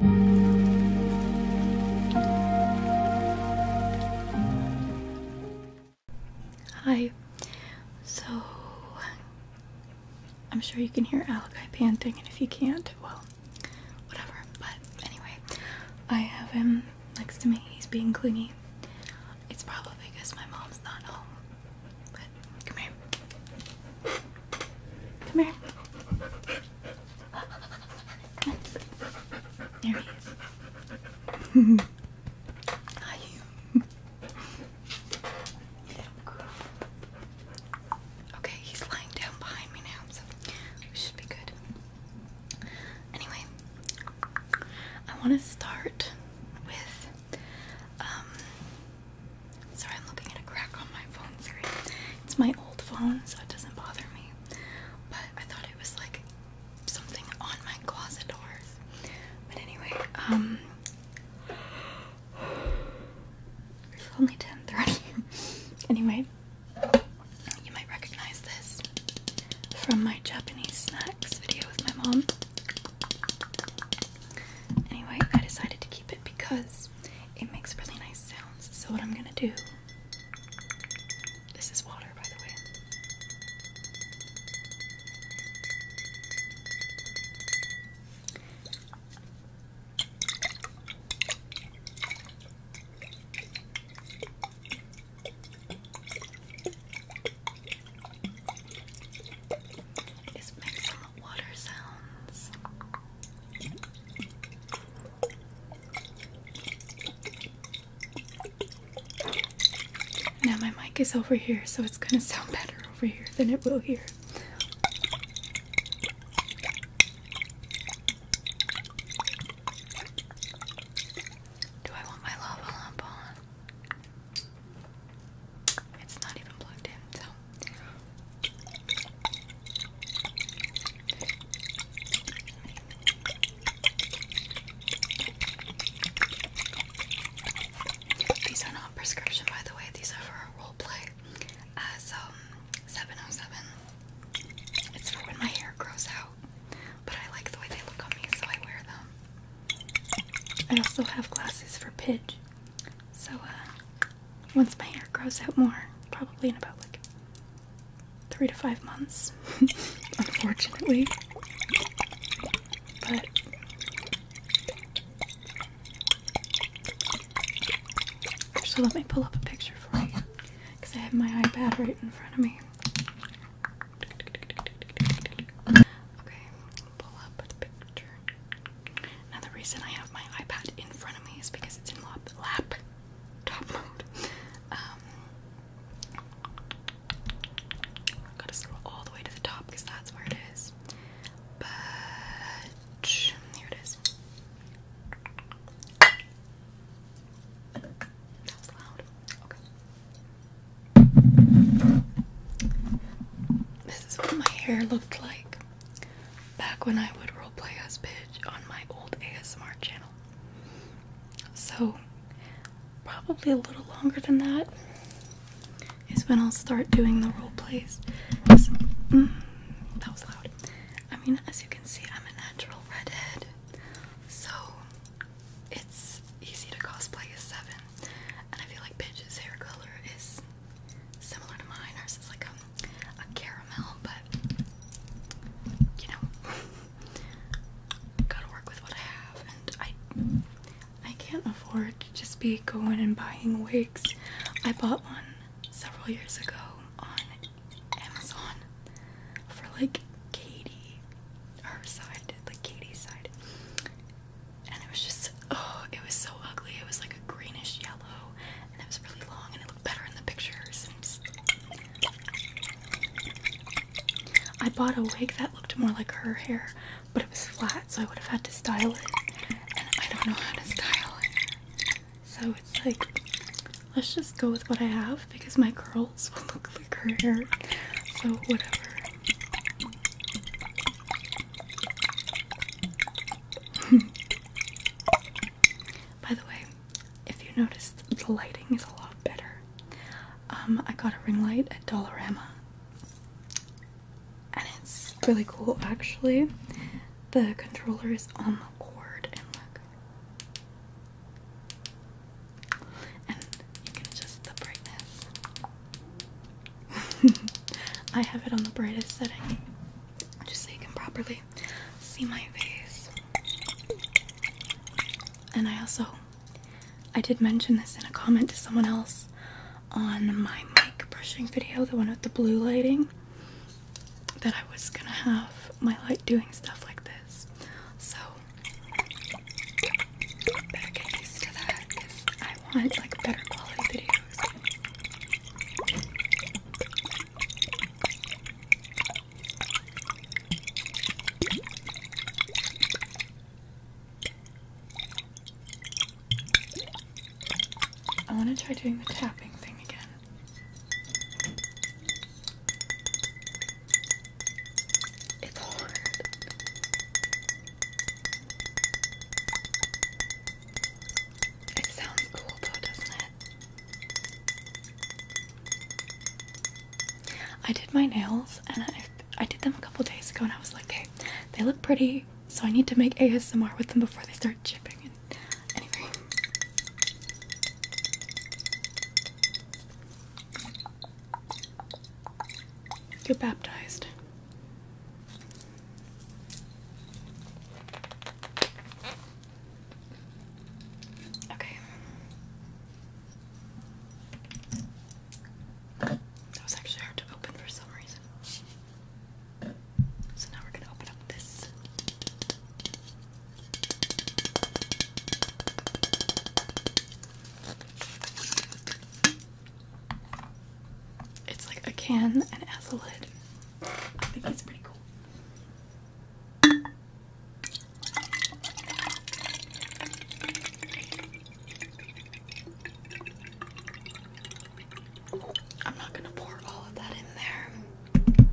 Hi. So, I'm sure you can hear Alakai panting, and if you can't, well, whatever. But anyway, I have him next to me. He's being clingy. It's probably because my mom's not home. But come here. Come here. There he is. Hi. you Okay, he's lying down behind me now, so we should be good. Anyway, I want to start with. Um, sorry, I'm looking at a crack on my phone screen. It's my old phone, so it doesn't bother me. But I thought it was like something on my closet doors. But anyway, um, it's only 10:30. anyway, you might recognize this from my Japanese snacks video with my mom. Anyway, I decided to keep it because it makes really nice sounds. So, what I'm gonna do this is water, by the way. Is make some water sounds. Now my mic is over here, so it's gonna sound better over here than it will here. Do I want my lava lamp on? It's not even plugged in, so these are not prescription, by the way. These are for role play as uh, um 707. It's for when my hair grows out, but I like the way they look on me, so I wear them. I also have glasses for Pidge, so uh, once my hair grows out more, probably in about like three to five months, unfortunately. But so let me pull up a picture for you because I have my iPad right in front of me. Okay, pull up the picture. Now the reason I have my iPad in front of me is because it's in lap lap top mode. Um, gotta scroll all the way to the top because that's where it is. But here it is. That was Okay. This is what my hair looked like back when I would roleplay as Pidge on my old ASMR channel. So, probably a little longer than that is when I'll start doing the roleplays. Mm, that was loud. I mean, as you can see, I'm a natural redhead, so it's easy to cosplay as Seven. And I feel like Pidge's hair color is similar to mine. or is like a a caramel, but you know, gotta work with what I have, and I I can't afford to just be going and buying wigs. I bought one several years ago on Amazon for like Katie, her side, like Katie's side. And it was just, oh, it was so ugly. It was like a greenish yellow, and it was really long, and it I bought a wig that looked more like her hair, but it was flat, so I would have had to style it, and I don't know how to style it. So it's like, let's just go with what I have because my curls will look like her hair, so whatever. By the way, if you notice, the lighting is a lot better. Um, I got a ring light at Dollarama, and it's really cool actually. The controller is on the cord, and look, and you can adjust the brightness. I have it on the brightest setting, just so you can properly see my face. And I also I did mention this in a comment to someone else on my mic brushing video, the one with the blue lighting, that I was gonna have my light doing stuff like this. So better to that I want like better quality videos. I want to try doing the tapping thing again. It's hard. It sounds cool though, doesn't it? I did my nails and I, I did them a couple days ago and I was like, hey, they look pretty, so I need to make ASMR with them before they start chipping and anyway. Get baptized. Okay. That was actually hard to open for some reason. So now we're gonna open up this. It's like a can and it has a lid. I think it's pretty cool. I'm not going to pour all of that in there.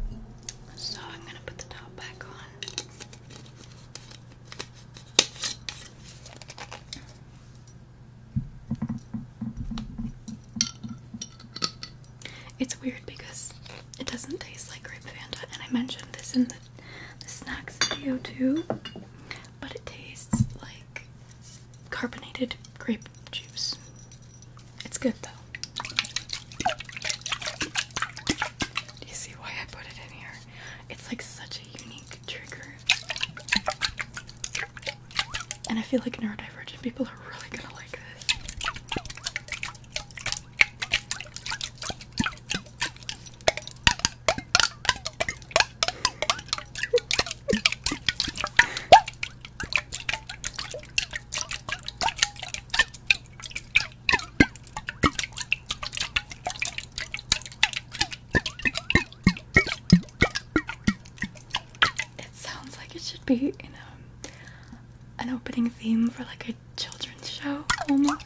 So I'm going to put the top back on. It's weird because it doesn't taste like grape and I mentioned this in the, the snacks video too, but it tastes like carbonated grape juice. It's good though. Do you see why I put it in here? It's like such a unique trigger. And I feel like neurodivergent people are really gonna like this. It sounds like it should be in a um, an opening theme for like a children's show almost.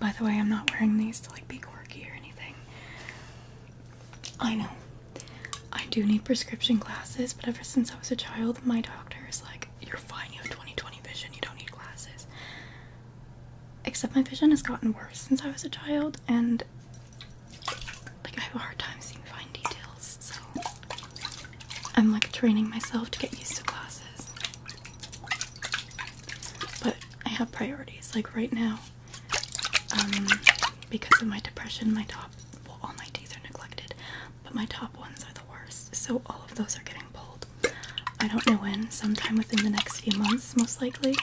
By the way, I'm not wearing these to like be quirky or anything. I know. I do need prescription glasses, but ever since I was a child, my doctor is like, you're fine, you have 20/20 vision, you don't need glasses. Except my vision has gotten worse since I was a child and like I have a hard time seeing fine details, so I'm like training myself to get used to classes. But I have priorities. Like right now, um, because of my depression, my top well, all my teeth are neglected, but my top ones are the worst. So all of those are getting pulled. I don't know when, sometime within the next few months, most likely,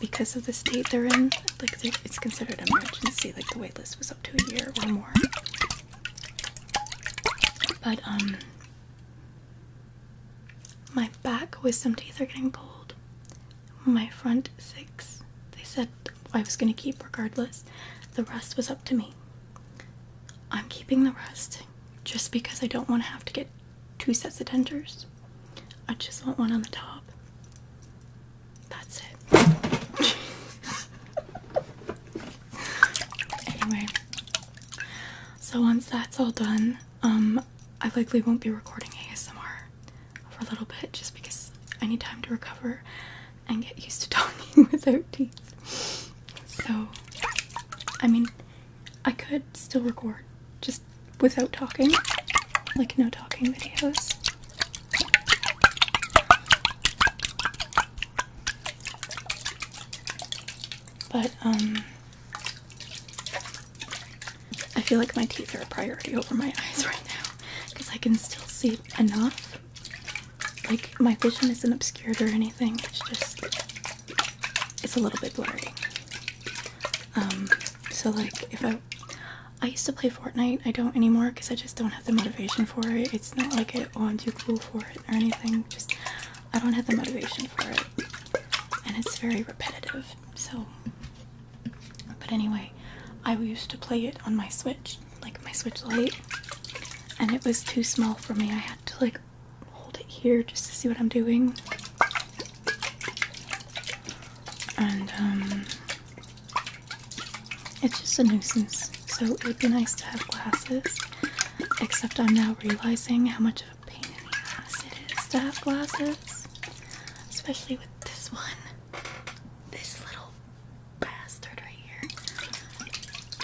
because of the state they're in. Like, it's considered an emergency. Like, the wait list was up to a year or more. But um my back wisdom teeth are getting pulled. My front six, they said I was gonna keep regardless. The rest was up to me. I'm keeping the rest just because I don't want to have to get two sets of dentures. I just want one on the top. That's it. Anyway, so once that's all done, um, I likely won't be recording ASMR for a little bit just because I need time to recover and get used to talking with our teeth. So, I mean, I could still record just without talking, like no talking videos. But, um, I feel like my teeth are a priority over my eyes right now because I can still see enough. Like, my vision isn't obscured or anything, it's just, it's a little bit blurry. Um, so, like, if I I used to play Fortnite. I don't anymore because I just don't have the motivation for it it's not like I oh, I'm too cool for it or anything. Just I don't have the motivation for it, and it's very repetitive. So, but anyway, I used to play it on my Switch, like my Switch Lite, and it was too small for me. I had to like hold it here just to see what I'm doing. And um, it's just a nuisance. So it would be nice to have glasses. Except I'm now realizing how much of a pain in the ass it is to have glasses. Especially with this one. This little bastard right here.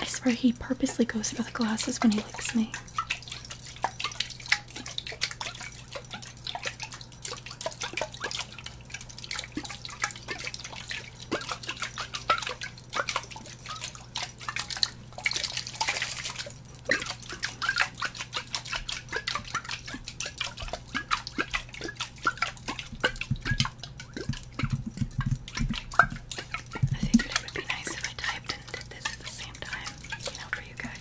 I swear he purposely goes for the glasses when he licks me. I figured it would be nice if I typed and did this at the same time, you know, for you guys.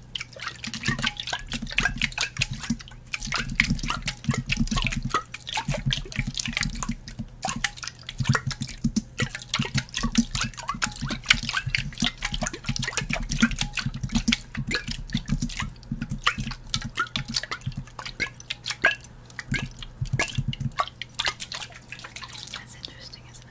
That's interesting, isn't it?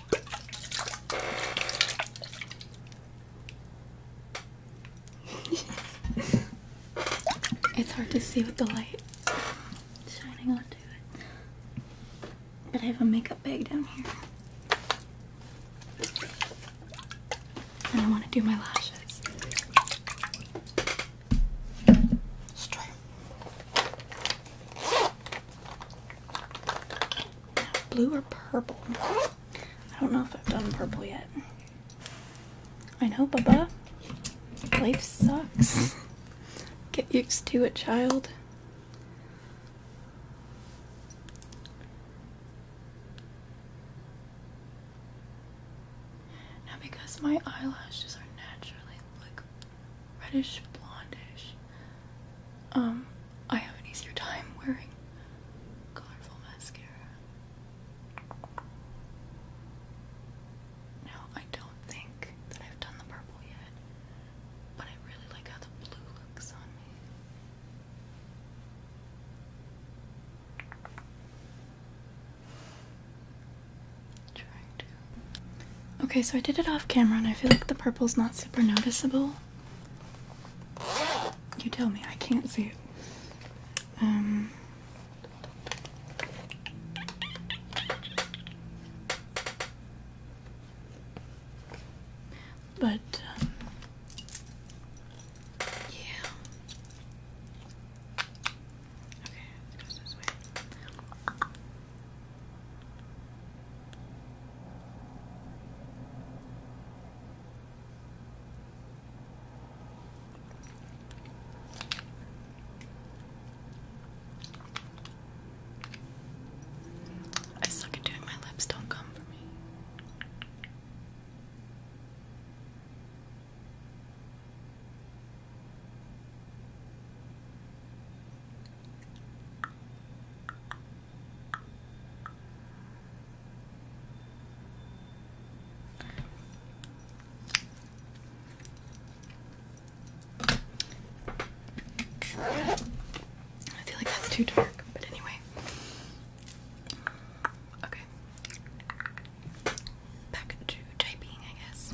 it's hard to see with the light shining onto it. But I have a makeup bag down here. And I want to do my lashes. Straight. Blue or purple? I don't know if I've done purple yet. I know, Baba. Life sucks. Get used to it, child. Now, because my eyelashes are naturally reddish blondish. Um, I have an easier time wearing colorful mascara. Now, I don't think that I've done the purple yet, but I really like how the blue looks on me. Trying to. Okay, so I did it off camera, and I feel like the purple's not super noticeable. You tell me, I can't see it. Um but um, yeah. Okay, it goes this way. I suck at doing my lips, don't come for me. I feel like that's too dark, but anyway. Okay. Back to typing, I guess.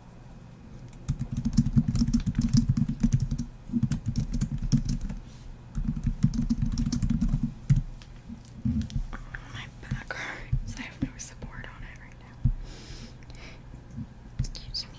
My back hurts. I have no support on it right now. Excuse me.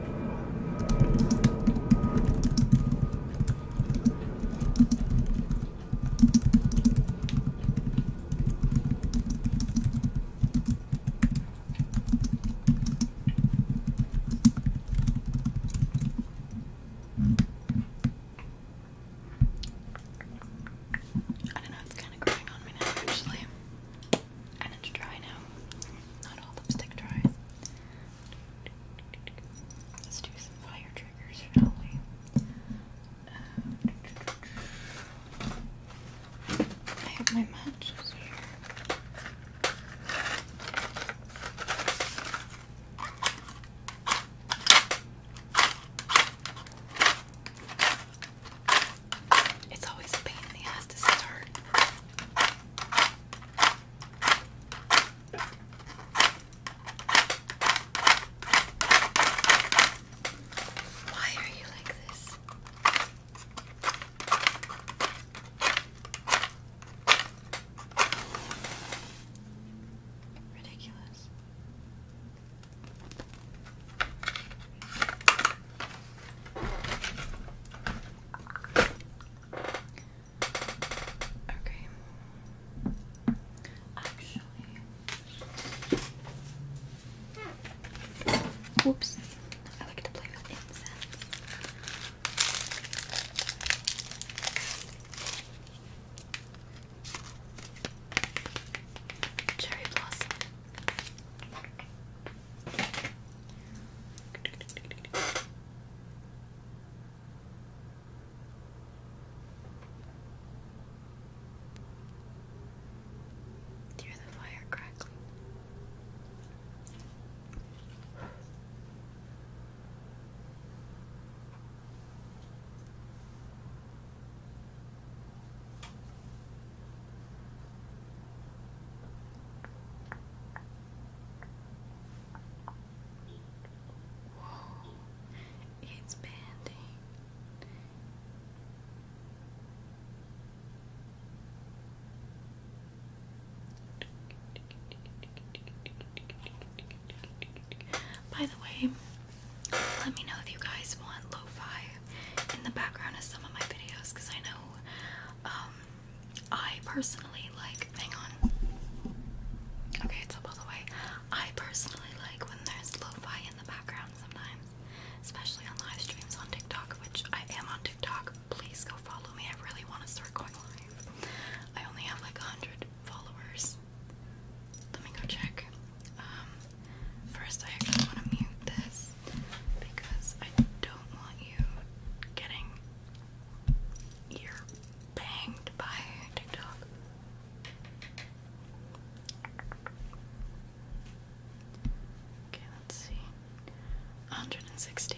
I don't know, it's kind of growing on me now, actually and it's dry now. Not all lipstick dry. Let's do some fire triggers, shall we? Uh, I have my matches here. It's always a pain in the ass to start. Why are you like this? Ridiculous. Okay. Actually. Whoops. I like to play with incense. Cherry blossom. Hear the fire crackling. Whoa, it's banding. By the way, let me know if you guys want lo in the background of some of my videos because I know um, I personally like. Hang on. Okay, it's up all the way. I personally like when there's lo-fi in the background sometimes, especially on live streams on TikTok, which I am on TikTok. Please go follow me. I really want to start going live. I only have like a hundred followers. Let me go check. Um, first I actually want to mute this because I don't want you getting you banged by TikTok. Okay, let's see. 160.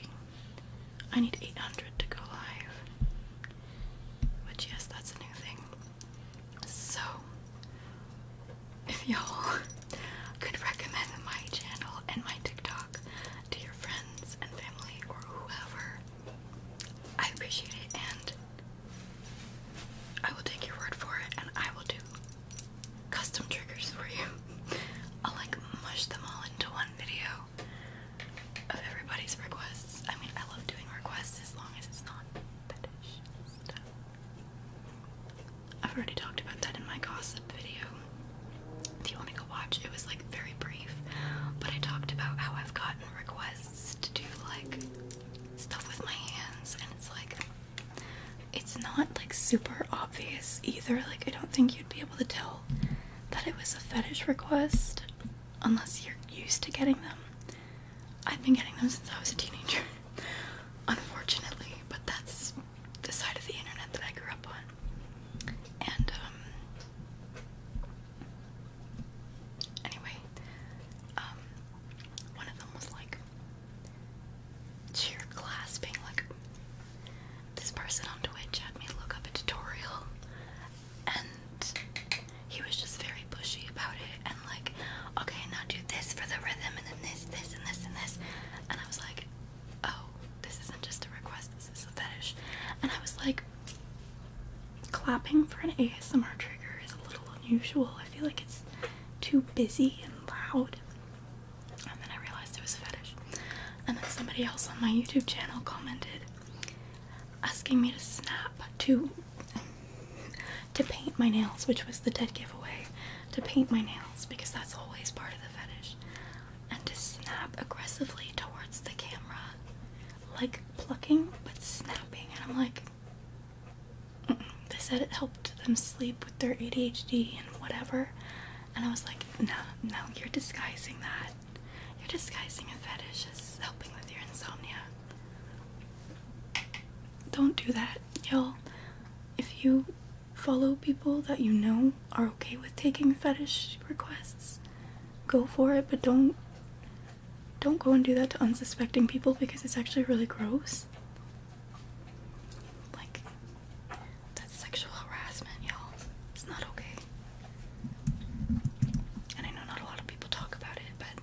I need 800 to go live. Which, yes, that's a new thing. So, if y'all could recommend my channel and my TikTok to friends and family or whoever. I appreciate it and I will take your word for it and I will do custom triggers for you. I'll like mush them all into one video of everybody's requests. I mean, I love doing requests as long as it's not fetish I've already talked about that in my gossip video do you want to go watch? It was like very brief, but I talked about how I've gotten requests to do like stuff with my hands, and it's like it's not like super obvious either. Like, I don't think you'd be able to tell that it was a fetish request unless you're used to getting them. I've been getting them since I was a teenager, unfortunately, but that's the side of the internet that I grew up on. And um anyway, um, one of them was like cheer class being like this person on Twitch had me look up a tutorial and he was just very pushy about it and like, okay, now do this for the rhythm and then this, this and this and this and I was like, oh, this isn't just a request, this is a fetish. And I was like, clapping for an ASMR trigger is a little unusual. I feel like it's too busy and loud. And then I realized it was a fetish. And then somebody else on my YouTube channel commented asking me to snap to to paint my nails, which was the dead giveaway. To paint my nails because that's always part of the fetish and to snap aggressively towards the camera, like plucking but snapping. And I'm like, they said it helped them sleep with their ADHD and whatever. And I was like, no, no, you're disguising that. You're disguising a fetish as helping with your insomnia. Don't do that, y'all. If you Follow people that you know are okay with taking fetish requests. Go for it, but don't don't go and do that to unsuspecting people because it's actually really gross. Like that's sexual harassment, y'all. It's not okay. And I know not a lot of people talk about it, but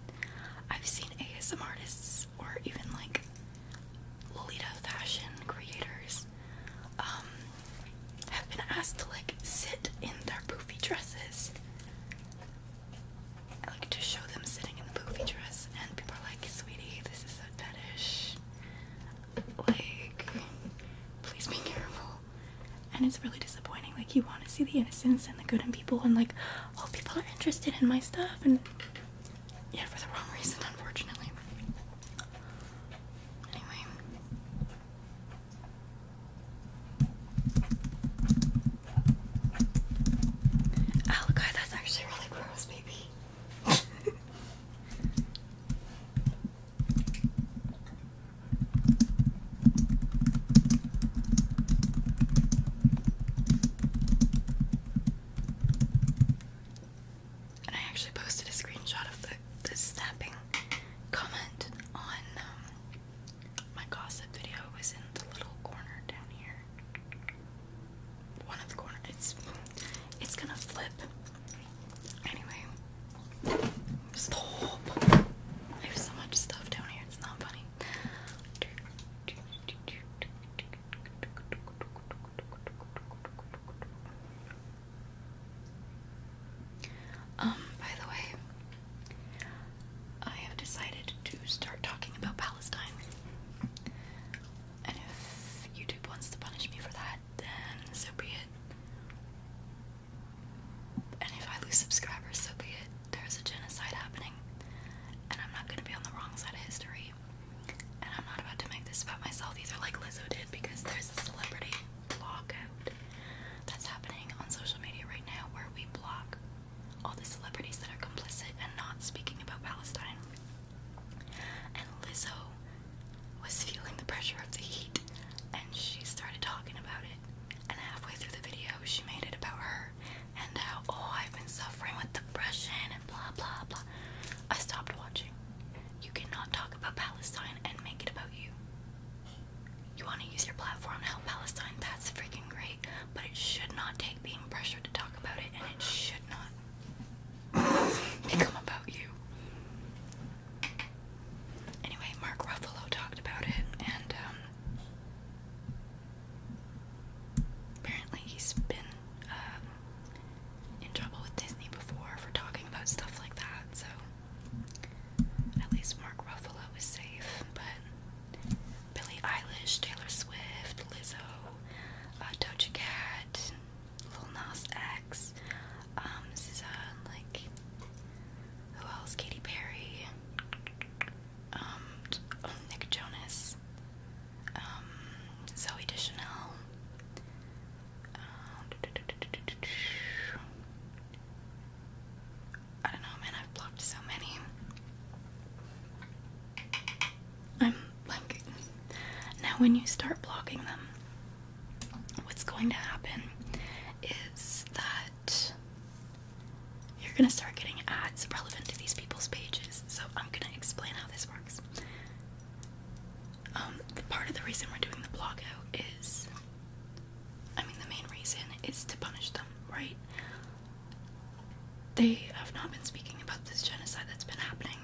I've seen ASM artists or even like Lolita fashion creators um, have been asked to like sit in their poofy dresses. I like to show them sitting in the poofy dress, and people are like, "Sweetie, this is so fetish. Like, please be careful." And it's really disappointing. Like, you want to see the innocence and the good in people, and like, oh, people are interested in my stuff, and yeah, for the wrong reason, unfortunately. Oh god, that's actually really gross, baby and I actually posted a screenshot of the, the snapping comment on um, my gossip video. It was in the little corner down here. One of the corner. It's it's gonna flip. Anyway, stop. I have so much stuff down here. It's not funny. Um, by the way, I have decided to start talking about Palestine. And if YouTube wants to punish me for that, then so be it. And if I lose subscribers, so be it. There's a genocide happening, and I'm not gonna be on the wrong side of history. And I'm not about to make this about myself either, like Lizzo did, because there's a celebrity blockout that's happening on social media right now, where we block all the celebrities that are complicit and not speaking about Palestine. And Lizzo was feeling the pressure of the heat and she started talking about it. And halfway through the video, she made it about her and how, oh, I've been suffering with depression and blah blah blah. I stopped watching. You cannot talk about Palestine and make it about you. You want to use your platform to help Palestine, that's freaking great, but it should not take being pressured to talk about it, and it should not become about you. Anyway, Mark Ruffalo talked about it, and um, apparently he's been um, in trouble with Disney before for talking about stuff like that, so at least Mark Ruffalo was safe, but Billie Eilish, Taylor Swift, Lizzo, uh, Doja Cat, Lil Nas X, um, this is, uh, like, who else? Katy Perry, um, oh, Nick Jonas, um, Zoe Deschanel, I don't know, man. I've blocked so many. I'm like, now when you start blocking them, what's going to happen is that you're gonna start getting ads relevant to these people's pages. So I'm gonna explain how this works. The um, part of the reason we're doing the blog out is, I mean, the main reason is to punish them, right? They have not been speaking about this genocide that's been happening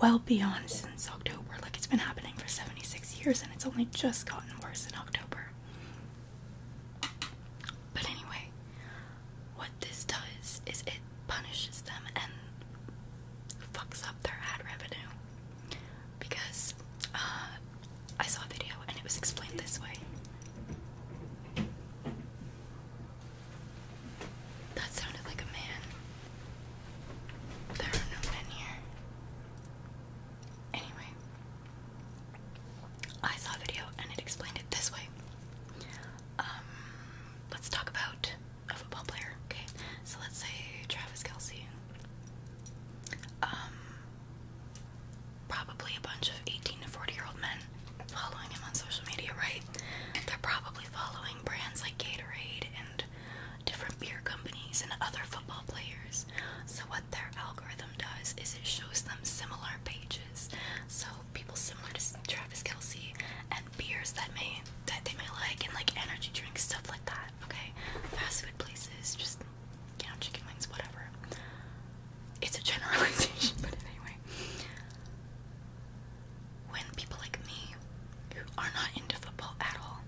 well beyond since October. Like, it's been happening for 76 years and it's only just gotten worse in October. But anyway, what this does is it punishes them and fucks up their ad revenue because uh, I saw a video and it was explained this way. That sounded like a man. There are no men here. Anyway, I saw a video and it explained it this way. Um, let's talk about a football player. Okay, so let's say Travis Kelsey. Um, probably a bunch of 18 to 40 year old men following him on social media, right? They're probably following brands like Gatorade and different beer companies and other football players. So, what their algorithm does is it shows them similar pages. So, people similar to Travis Kelsey and beers that may that they might like and like energy drinks, stuff like that okay? Fast food places, just you know, chicken wings, whatever. It's a generalization, but anyway. When people like me who are not into football at all,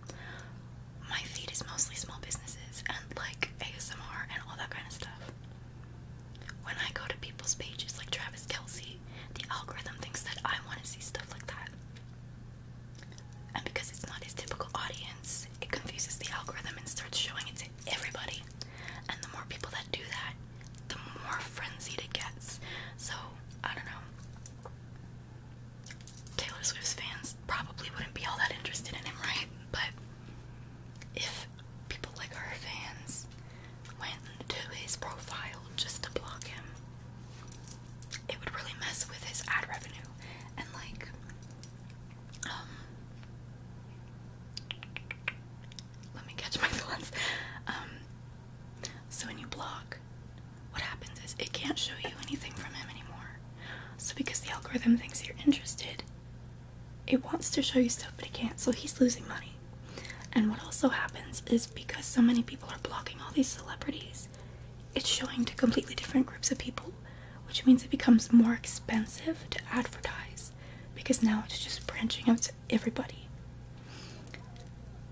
my feed is mostly small businesses and like ASMR and all that kind of stuff. When I go to people's pages like Travis Kelsey, the algorithm thinks that I want to see stuff like that. And because it's not his typical audience, it confuses the algorithm and starts showing it to everybody. And the more people that do that, the more frenzied it gets. So, I don't know. Taylor Swift's fans probably wouldn't be all that interested in him, right? But if people like her fans went to his profile just to block him, it would really mess with his ad revenue and like um, let me catch my thoughts um, so when you block what happens is it can't show you anything from him anymore so because the algorithm thinks you're interested it wants to show you stuff but it can't so he's losing money and what also happens is because so many people are blocking all these celebrities it's showing to completely different groups of people, which means it becomes more expensive to advertise because now it's just branching out to everybody,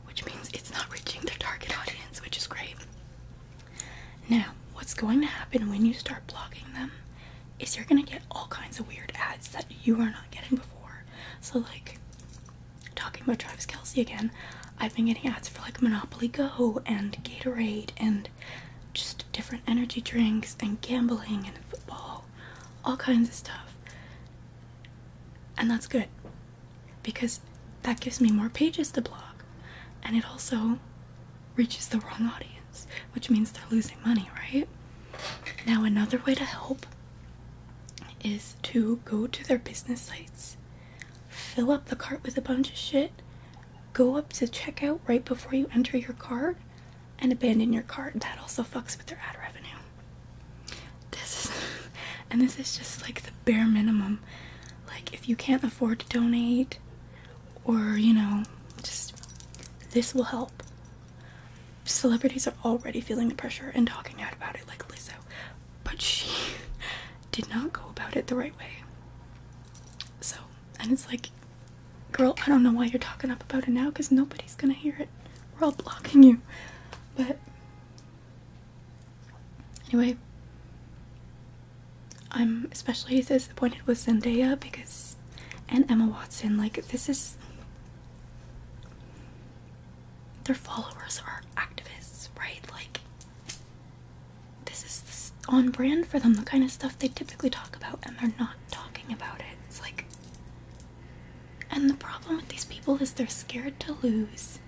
which means it's not reaching their target audience, which is great. Now, what's going to happen when you start blocking them is you're gonna get all kinds of weird ads that you are not getting before. So, like, talking about Travis Kelsey again, I've been getting ads for like Monopoly Go and Gatorade and just different energy drinks and gambling and football, all kinds of stuff. And that's good because that gives me more pages to blog and it also reaches the wrong audience, which means they're losing money, right? Now, another way to help is to go to their business sites fill up the cart with a bunch of shit, go up to checkout right before you enter your cart, and abandon your cart. That also fucks with their ad revenue. This is, and this is just like the bare minimum. Like if you can't afford to donate, or you know, just this will help. Celebrities are already feeling the pressure and talking out about it, like Lizzo, but she did not go about it the right way. So, and it's like, girl, I don't know why you're talking up about it now because nobody's gonna hear it. We're all blocking you. But, anyway, I'm especially disappointed with Zendaya because, and Emma Watson, like, this is. Their followers are activists, right? Like, this is on brand for them, the kind of stuff they typically talk about, and they're not talking about it. It's like. And the problem with these people is they're scared to lose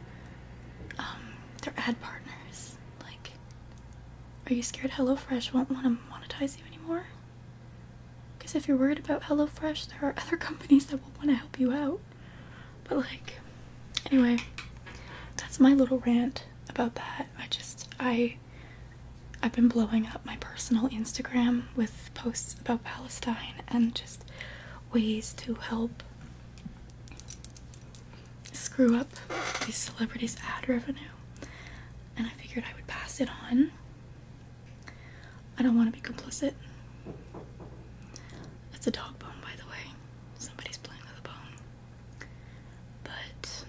um, their ad partners. Like, are you scared HelloFresh won't want to monetize you anymore? Because if you're worried about HelloFresh, there are other companies that will want to help you out. But like anyway, that's my little rant about that. I just I I've been blowing up my personal Instagram with posts about Palestine and just ways to help screw up these celebrities' ad revenue. And I figured I would pass it on. I don't want to be complicit. That's a dog bone, by the way. Somebody's playing with a bone. But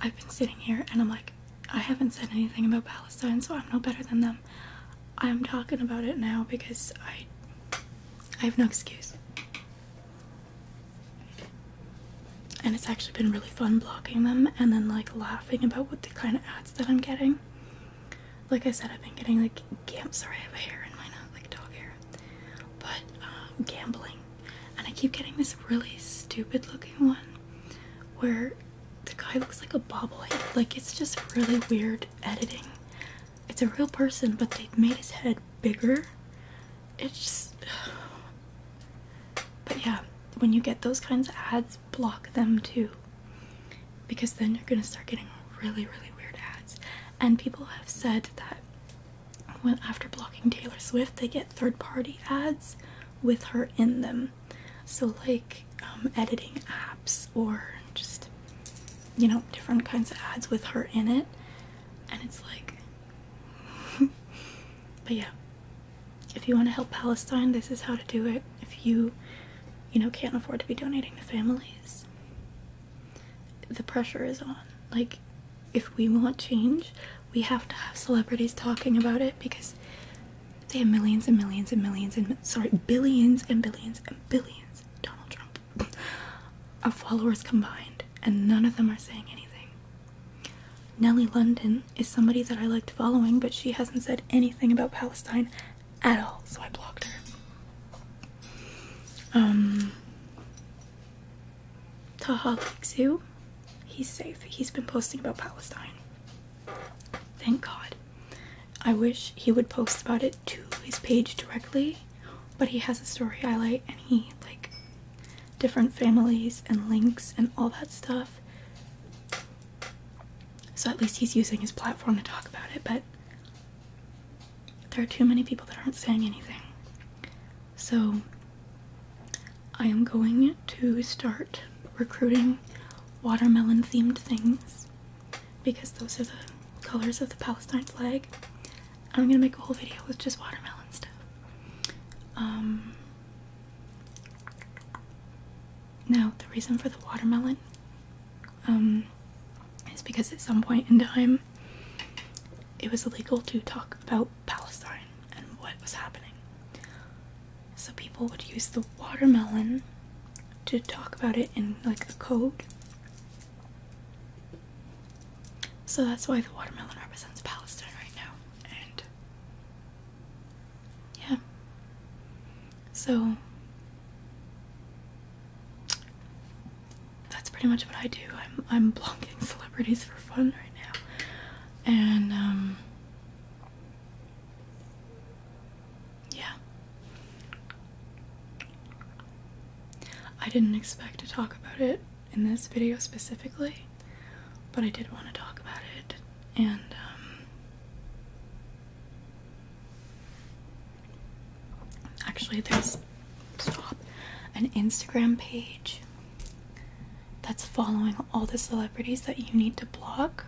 I've been sitting here and I'm like, I haven't said anything about Palestine, so I'm no better than them. I'm talking about it now because I I have no excuse. And it's actually been really fun blocking them and then like laughing about what the kind of ads that I'm getting like I said, I've been getting like gam. Sorry, I have hair in my not like dog hair, but um, gambling, and I keep getting this really stupid-looking one where the guy looks like a bobblehead. Like it's just really weird editing. It's a real person, but they made his head bigger. It's just. But yeah, when you get those kinds of ads, block them too because then you're gonna start getting really, really weird ads. And people have said that when after blocking Taylor Swift, they get third-party ads with her in them. So like um, editing apps or just you know different kinds of ads with her in it, and it's like. but yeah, if you want to help Palestine, this is how to do it. If you, you know, can't afford to be donating to families, the pressure is on. Like, if we want change, we have to have celebrities talking about it because they have millions and millions and millions and sorry, billions and billions and billions, Donald Trump, of followers combined, and none of them are saying anything. Nellie London is somebody that I liked following, but she hasn't said anything about Palestine at all, so I blocked her. Um, Taha you. he's safe. He's been posting about Palestine. Thank God. I wish he would post about it to his page directly, but he has a story highlight and he like different families and links and all that stuff. So at least he's using his platform to talk about it, but there are too many people that aren't saying anything. So I am going to start recruiting watermelon themed things because those are the colors of the Palestine flag. I'm gonna make a whole video with just watermelon stuff. Um, now, the reason for the watermelon um, is because at some point in time it was illegal to talk about Palestine and what was happening. So people would use the watermelon to talk about it in like the code. So that's why the watermelon represents Palestine right now. And yeah. So that's pretty much what I do. I'm I'm blocking celebrities for fun right now. And um, yeah. I didn't expect to talk about it in this video specifically, but I did want to talk about it and um, Actually, there's stop an Instagram page that's following all the celebrities that you need to block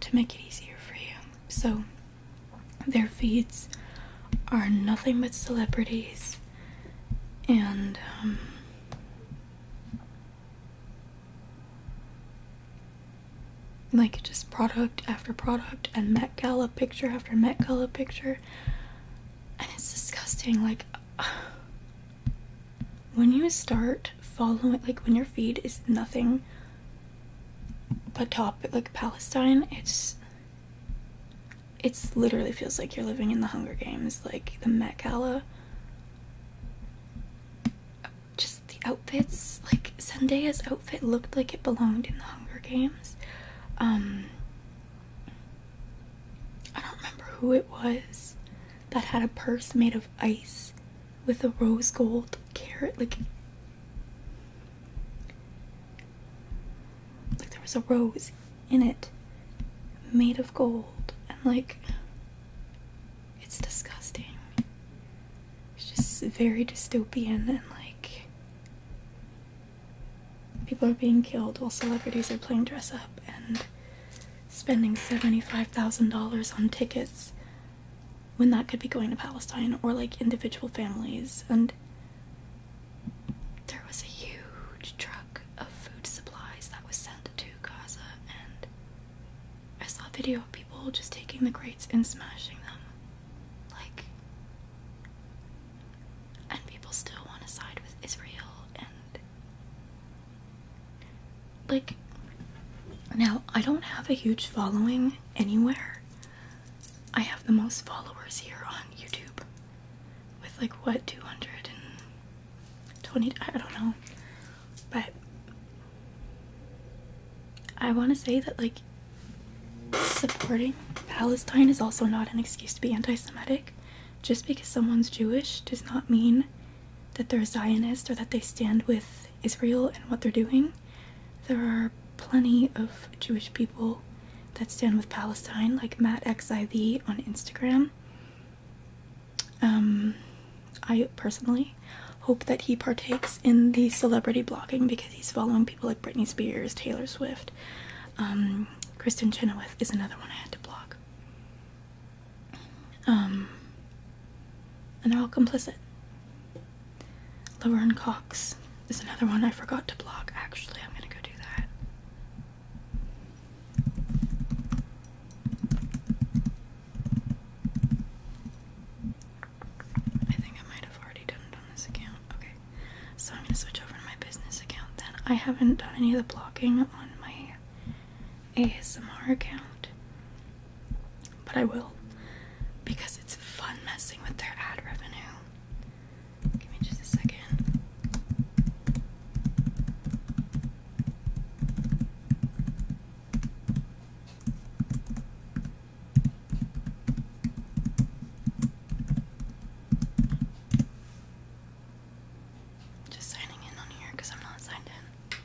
to make it easier for you. So their feeds are nothing but celebrities and um, like just product after product and Met Gala picture after Met Gala picture. And it's disgusting. Like, when you start following, like, when your feed is nothing but top, like Palestine, it's. It's literally feels like you're living in the Hunger Games, like the Met Gala. Just the outfits, like Sundae's outfit looked like it belonged in the Hunger Games. Um, I don't remember who it was that had a purse made of ice with a rose gold carrot. Like, like there was a rose in it made of gold, and like it's disgusting. It's just very dystopian and like People are being killed while celebrities are playing dress up and spending $75,000 on tickets when that could be going to Palestine or like individual families. And there was a huge truck of food supplies that was sent to Gaza, and I saw a video of people just taking the crates and smashing them. Like, and people still want to side with Israel, and like, now I don't have a huge following anywhere. I have the most followers here on YouTube with like what 220 I don't know but I want to say that like Supporting Palestine is also not an excuse to be anti Semitic. Just because someone's Jewish does not mean that they're a Zionist or that they stand with Israel and what they're doing. There are plenty of Jewish people that stand with Palestine, like Matt Xiv on Instagram. Um, I personally hope that he partakes in the celebrity blogging because he's following people like Britney Spears, Taylor Swift, um, Kristen Chenoweth is another one I had to block. Um, and they're all complicit. Laverne Cox is another one I forgot to block. Actually, I'm gonna go do that. I think I might have already done this account. Okay. So I'm gonna switch over to my business account then. I haven't done any of the blocking on my ASMR account. But I will. Because it's fun messing with their ad revenue. Give me just a second. Just signing in on here because I'm not signed in.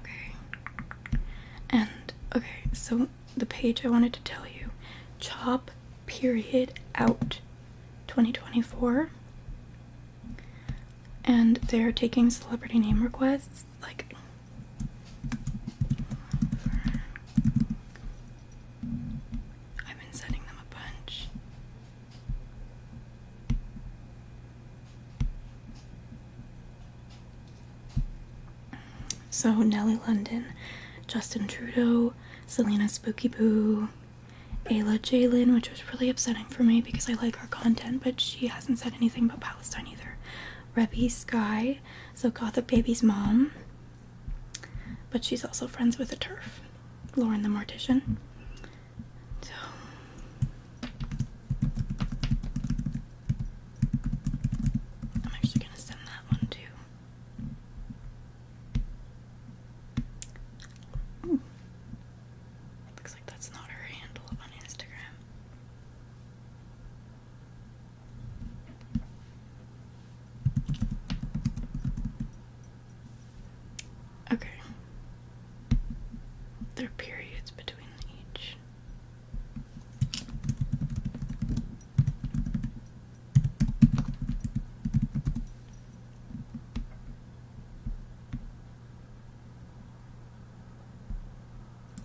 Okay. And, okay, so the page I wanted to tell you Chop Period Out 2024. And they're taking celebrity name requests like I've been sending them a bunch. So Nellie London, Justin Trudeau, Selena Spooky Boo, Ayla Jalen, which was really upsetting for me because I like her content, but she hasn't said anything about Palestine either. Rebby Sky, so Gothic Baby's mom, but she's also friends with the turf, Lauren the Mortician. So. I'm actually gonna send that one too. Looks like that's not her handle on Instagram. Okay. There are periods between each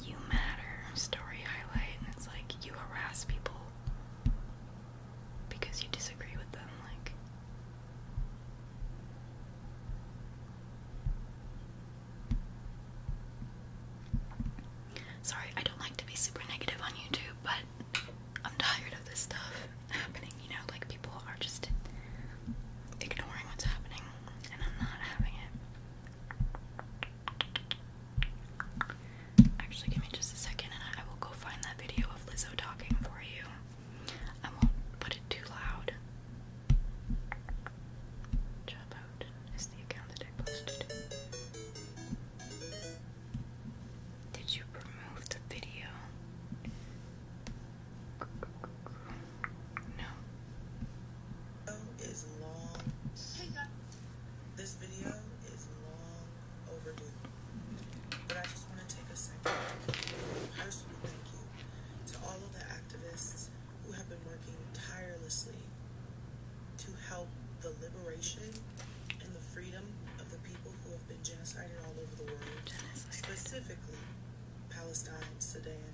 you matter story highlight, and it's like you harass people because you disagree with them. Like, sorry, I don't like to be super negative on YouTube, but I'm tired of this stuff happening. You know, like people are just ignoring what's happening, and I'm not having it. Actually, give me just a second and I will go find that video of Lizzo talking for you. I won't put it too loud. Job out is the account that I posted. Did you remove the video? No. This video is long overdue, but I just want to take a second to personally thank you to all of the activists who have been working tirelessly to help the liberation and the freedom of the people who have been genocided all over the world, specifically Palestine, Sudan,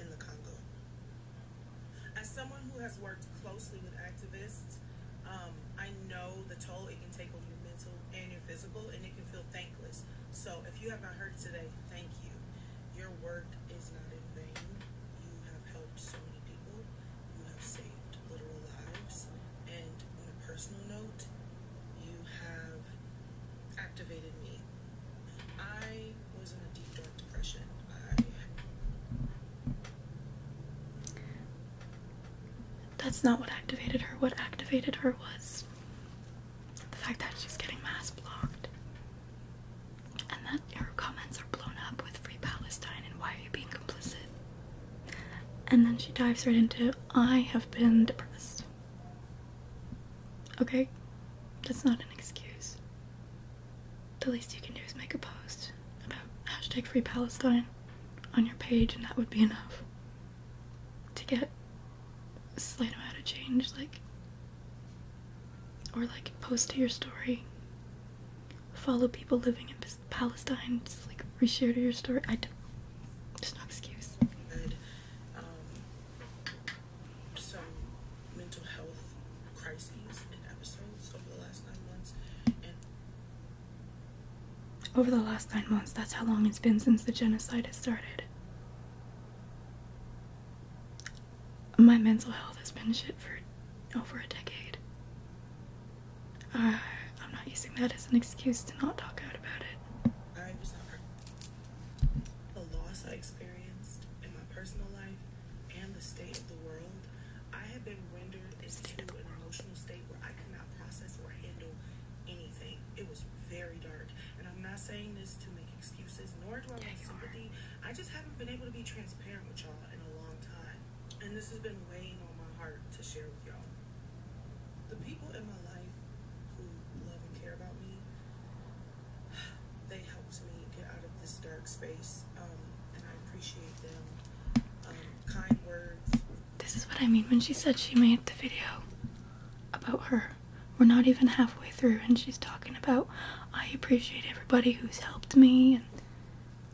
and the Congo. As someone who has worked closely with activists, um, I know the toll it can take on your mental and your physical, and it can feel thankless. So if you have not heard today, thank you. Your work is not in vain. You have helped so many people. You have saved literal lives. And on a personal note, you have activated me. I was in a deep dark depression. That's not what activated her. What activated her was the fact that she's getting mass blocked. And that her comments are blown up with Free Palestine and why are you being complicit? And then she dives right into, I have been depressed. Okay? That's not an excuse the least you can do is make a post about hashtag free Palestine on your page, and that would be enough to get a slight amount of change, like, or like post to your story, follow people living in Palestine, just like reshare to your story. I don't, there's no excuse. Had, um, some mental health crises and episodes over the last nine months. over the last nine months, that's how long it's been since the genocide has started. My mental health has been shit for over a decade. Uh, I'm not using that as an excuse to not talk out about it. I was hurt. The loss I experienced in my personal life and the state of the world, I have been rendered into an emotional state where I cannot process or handle anything. It was very dark. And I'm not saying this to make excuses, nor do I want sympathy. I just haven't been able to be transparent with y'all in a long time. And this has been weighing on my heart to share with y'all. The people in my life who love and care about me, they have helps get out of this dark space, um, and I appreciate them. Um, kind words. This is what I mean when she said she made the video about her. We're not even halfway through, and she's talking about, I appreciate everybody who's helped me, and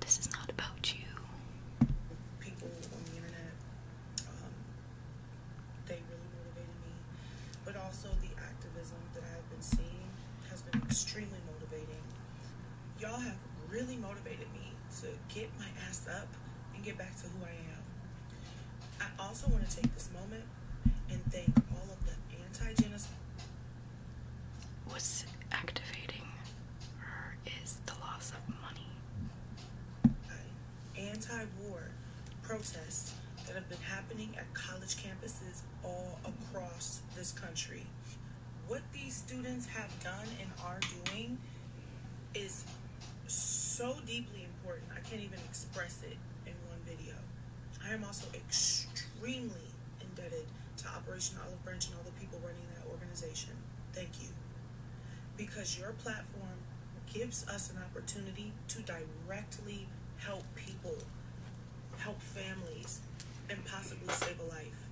this is not about you. People on the internet, um, they really motivated me, but also the activism that I've been seeing has been extremely motivating. Y'all have really motivated me to get my ass up and get back to who I am. I also want to take this moment and thank all of the anti-genocide. What's activating her is the loss of money. Anti-war protests that have been happening at college campuses all across this country what these students have done and are doing is so deeply important. I can't even express it in one video. I am also extremely indebted to Operation Olive Branch and all the people running that organization. Thank you. Because your platform gives us an opportunity to directly help people help families, and possibly save a life.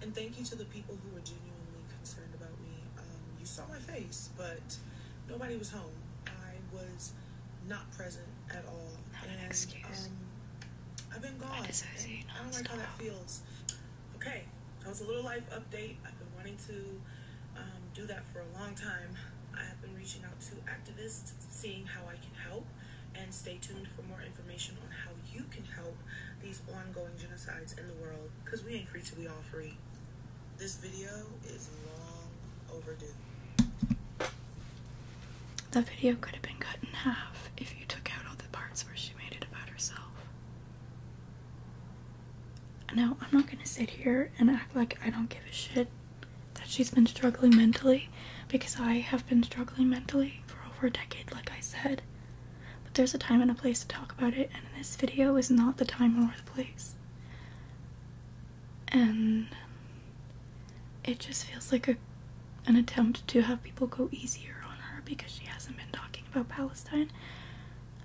And thank you to the people who were genuinely concerned about me. Um, you saw my face, but nobody was home. I was not present at all. Not and, an excuse. Um, I've been gone. I, I don't like how that feels. Okay, that was a little life update. I've been wanting to um, do that for a long time. I have been reaching out to activists, seeing how I can help and stay tuned for more information on how you can help these ongoing genocides in the world because we ain't free till we all free. This video is long overdue. That video could have been cut in half if you took out all the parts where she made it about herself. No, I'm not gonna sit here and act like I don't give a shit that she's been struggling mentally because I have been struggling mentally for over a decade, like I said. But there's a time and a place to talk about it, and this video is not the time or the place. And it just feels like a, an attempt to have people go easier on her because she hasn't been talking about Palestine.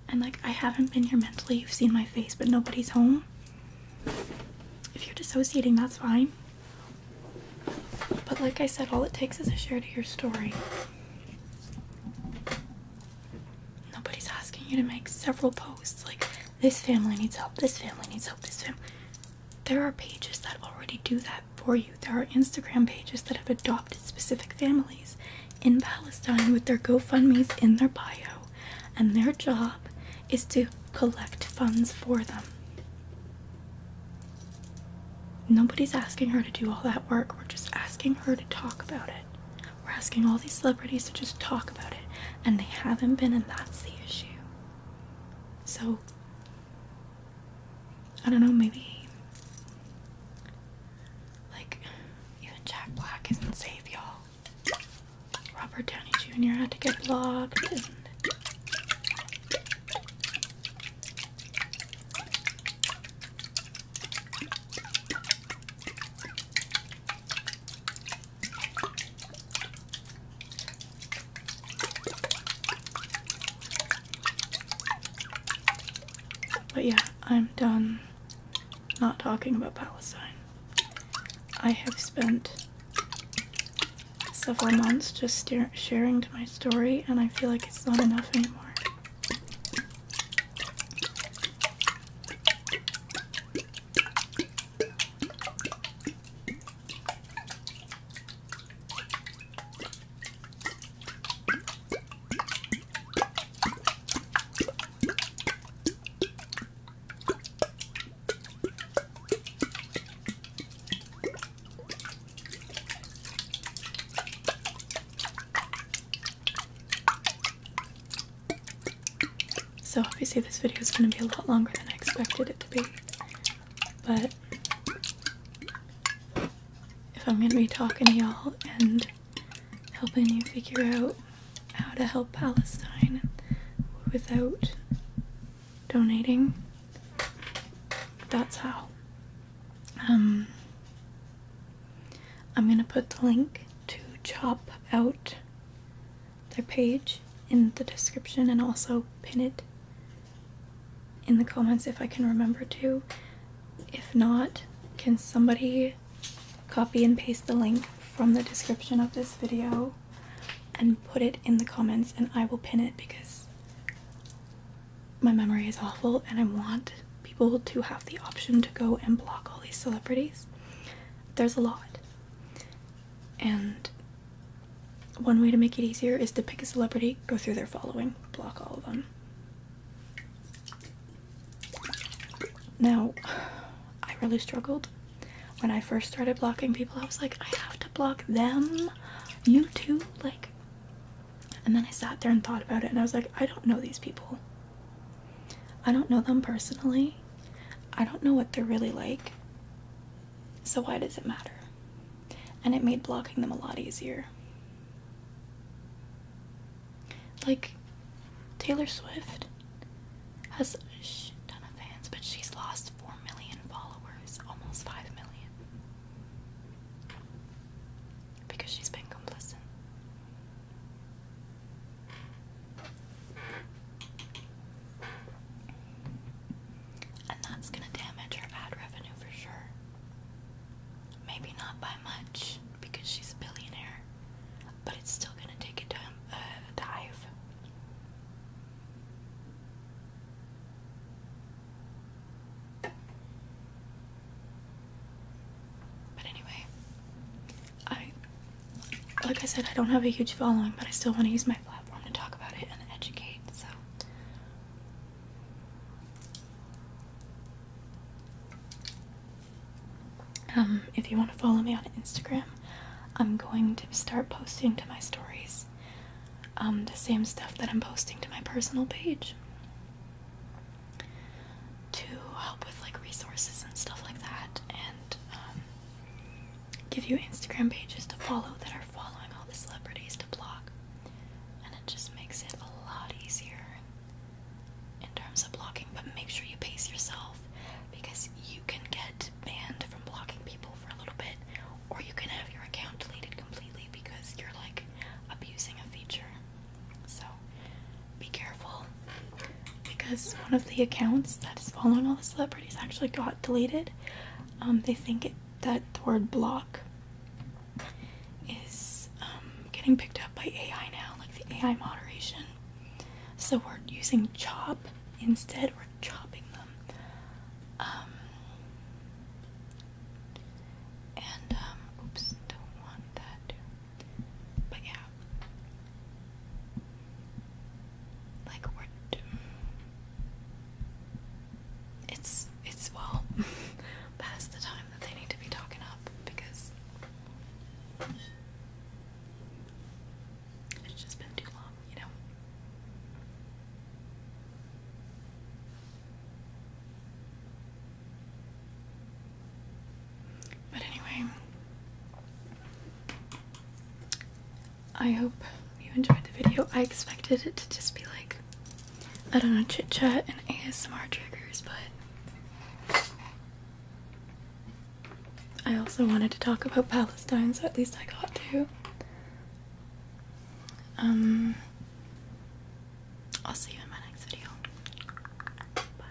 And like, I haven't been here mentally, you've seen my face, but nobody's home. If you're dissociating, that's fine. But like I said, all it takes is a share to your story. Nobody's asking you to make several posts like this family needs help, this family needs help, this family. There are pages that already do that for you. There are Instagram pages that have adopted specific families in Palestine with their GoFundMe's in their bio, and their job is to collect funds for them. Nobody's asking her to do all that work. We're just asking her to talk about it. We're asking all these celebrities to just talk about it, and they haven't been, and that's the issue. So, I don't know, maybe. Like, even Jack Black isn't safe, y'all. Robert Downey Jr. had to get blocked, but yeah, I'm done not talking about Palestine. I have spent several months just sharing my story, and I feel like it's not enough anymore. So obviously this video is going to be a lot longer than I expected it to be, but if I'm going to be talking to y'all and helping you figure out how to help Palestine without donating. That's how. Um, I'm gonna put the link to chop out their page in the description and also pin it in the comments if I can remember to. If not, can somebody copy and paste the link from the description of this video and put it in the comments and I will pin it because my memory is awful and I want people to have the option to go and block all these celebrities. There's a lot. And one way to make it easier is to pick a celebrity, go through their following, block all of them. Now, I really struggled. When I first started blocking people, I was like, I have to block them. You too? Like, and then I sat there and thought about it, and I was like, I don't know these people. I don't know them personally. I don't know what they're really like. So, why does it matter? And it made blocking them a lot easier. Like, Taylor Swift has a shit ton of fans, but she's lost 4 million followers, almost 5 million. Because she's been complicit. And that's going to damage her ad revenue for sure. Maybe not by much because she's a billionaire, but it's still going to take a uh, dive. But anyway, I like I said, I don't have a huge following, but I still want to use my platform to talk about it and educate. So um, if you want to follow me on Instagram, I'm going to start posting to my stories um, the same stuff that I'm posting to my personal page to help with like resources and stuff like that, and um, give you Instagram pages to follow that are following all the celebrities to block, and it just makes it a lot easier in terms of blocking. But make sure you pace yourself because you can get banned from blocking people for a little bit or you can have your account deleted completely because you're like abusing a feature. So be careful because one of the accounts that is following all the celebrities actually got deleted. Um, they think that the word block is um, getting picked up by AI now, like the AI moderation. So we're using chop instead, we're chopping them and, oops, don't want that. But yeah. Like, we're. It's, it's well past the time that they need to be talking up because. It's just been too long, you know? But anyway, I hope you enjoyed the video. I expected it to just be like, I don't know, chit chat and ASMR triggers, but I also wanted to talk about Palestine, so at least I got to. Um, I'll see you in my next video. Bye.